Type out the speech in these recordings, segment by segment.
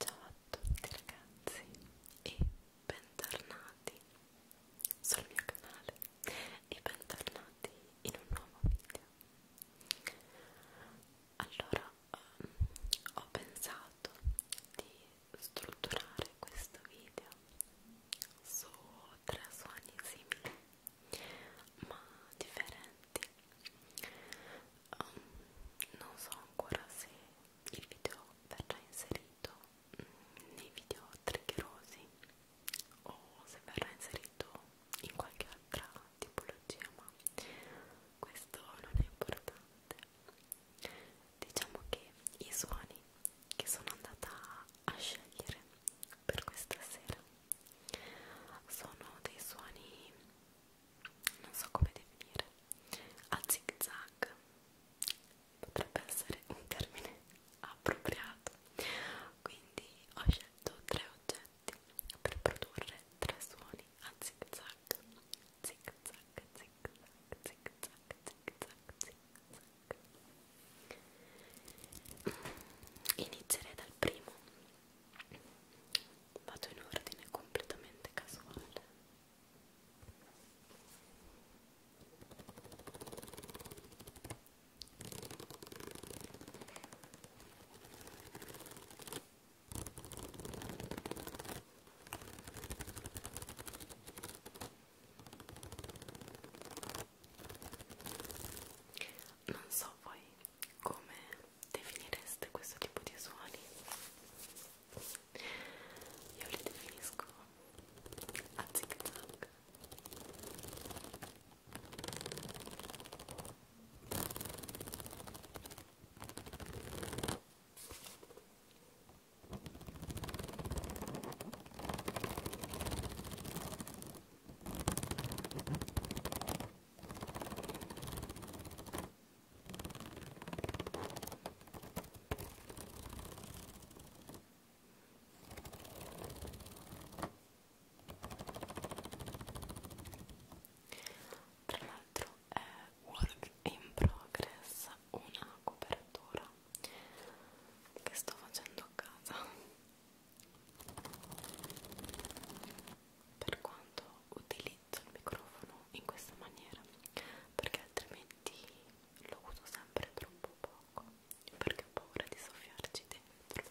Ciao a tutti ragazzi e bentornati sul mio canale e bentornati in un nuovo video. Allora um, ho pensato di strutturare questo video su tre suoni simili ma differenti um, non so ancora se il video verrà inserito um, nei video triggerosi o se verrà inserito in qualche altra tipologia ma questo non è importante diciamo che i suoni che sono andata a scegliere per questa sera sono dei suoni non so come definire a zig zag potrebbe essere un termine appropriato quindi ho scelto tre oggetti per produrre tre suoni a zig zag zig zag zig zag zig zag zig zag zig zag inizierei dal primo vado in ordine completamente casuale non so voi come definireste questo tipo di suoni io li definisco a zig zag tra l'altro è work in progress una copertura che sto facendo a casa per quanto utilizzo il microfono in questa maniera perché altrimenti lo uso sempre troppo poco perché ho paura di soffiarci dentro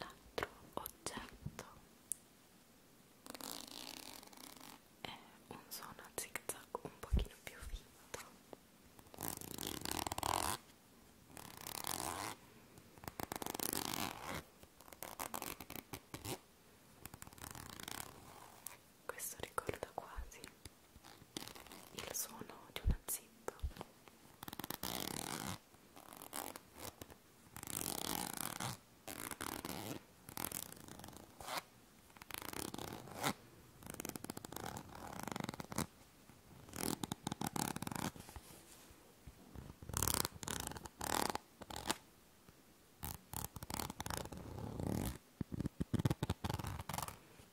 l'altro oggetto è un suono a zig zag un pochino più finto questo ricorda quasi il suono di una zip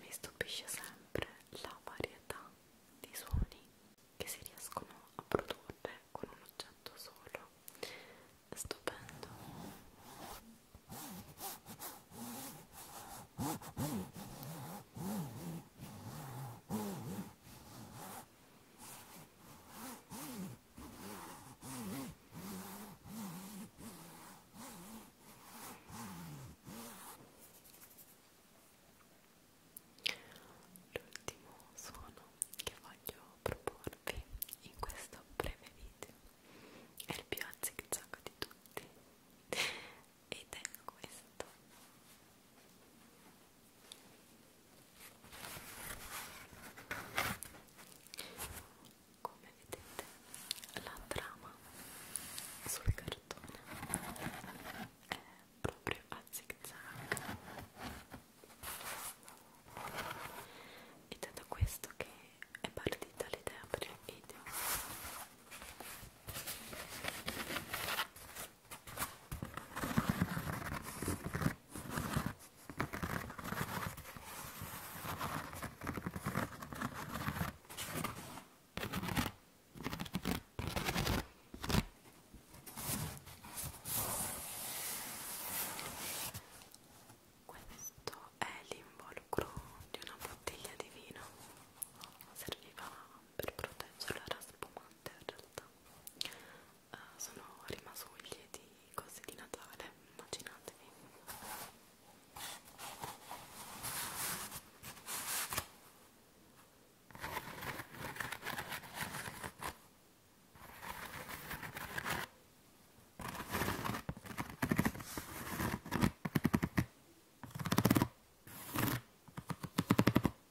Mi stupisce sempre la varietà di suoni che si riescono a produrre con un oggetto solo. È stupendo. L'ultimo suono che voglio proporvi in questo breve video è il più a zig zag di tutti ed è questo come vedete la trama sul cartone è proprio a zig zag ed è da questo che è partita l'idea per il video questo è l'involucro di una bottiglia di vino, serviva per proteggere la spuma notte in realtà uh, sono rimasuglie di cose di Natale, immaginatevi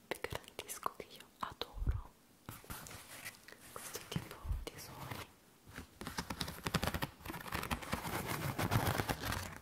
Vi garantisco che io adoro questo tipo di suoni.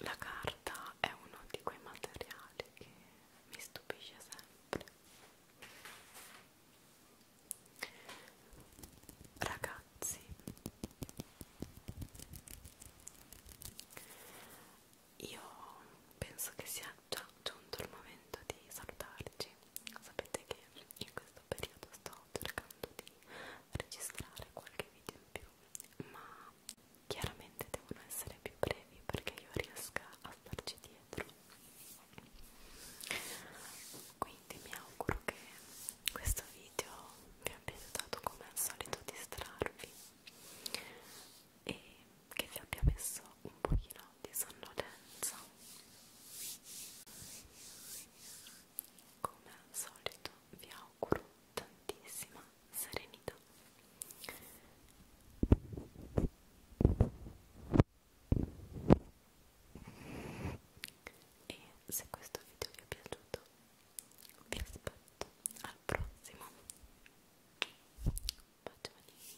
La carta è uno di quei materiali che mi stupisce sempre. Ragazzi, io penso che sia già giunto il momento di salutarci sapete che in questo periodo sto cercando di registrare qualche video in più ma chiaramente devono essere più brevi perché io riesca a starci dietro quindi mi auguro che questo video vi abbia aiutato come al solito a distrarvi e che vi abbia messo un pochino di sonnolenza come al solito vi auguro tantissima serenità e se questo video vi è piaciuto vi aspetto al prossimo bacioni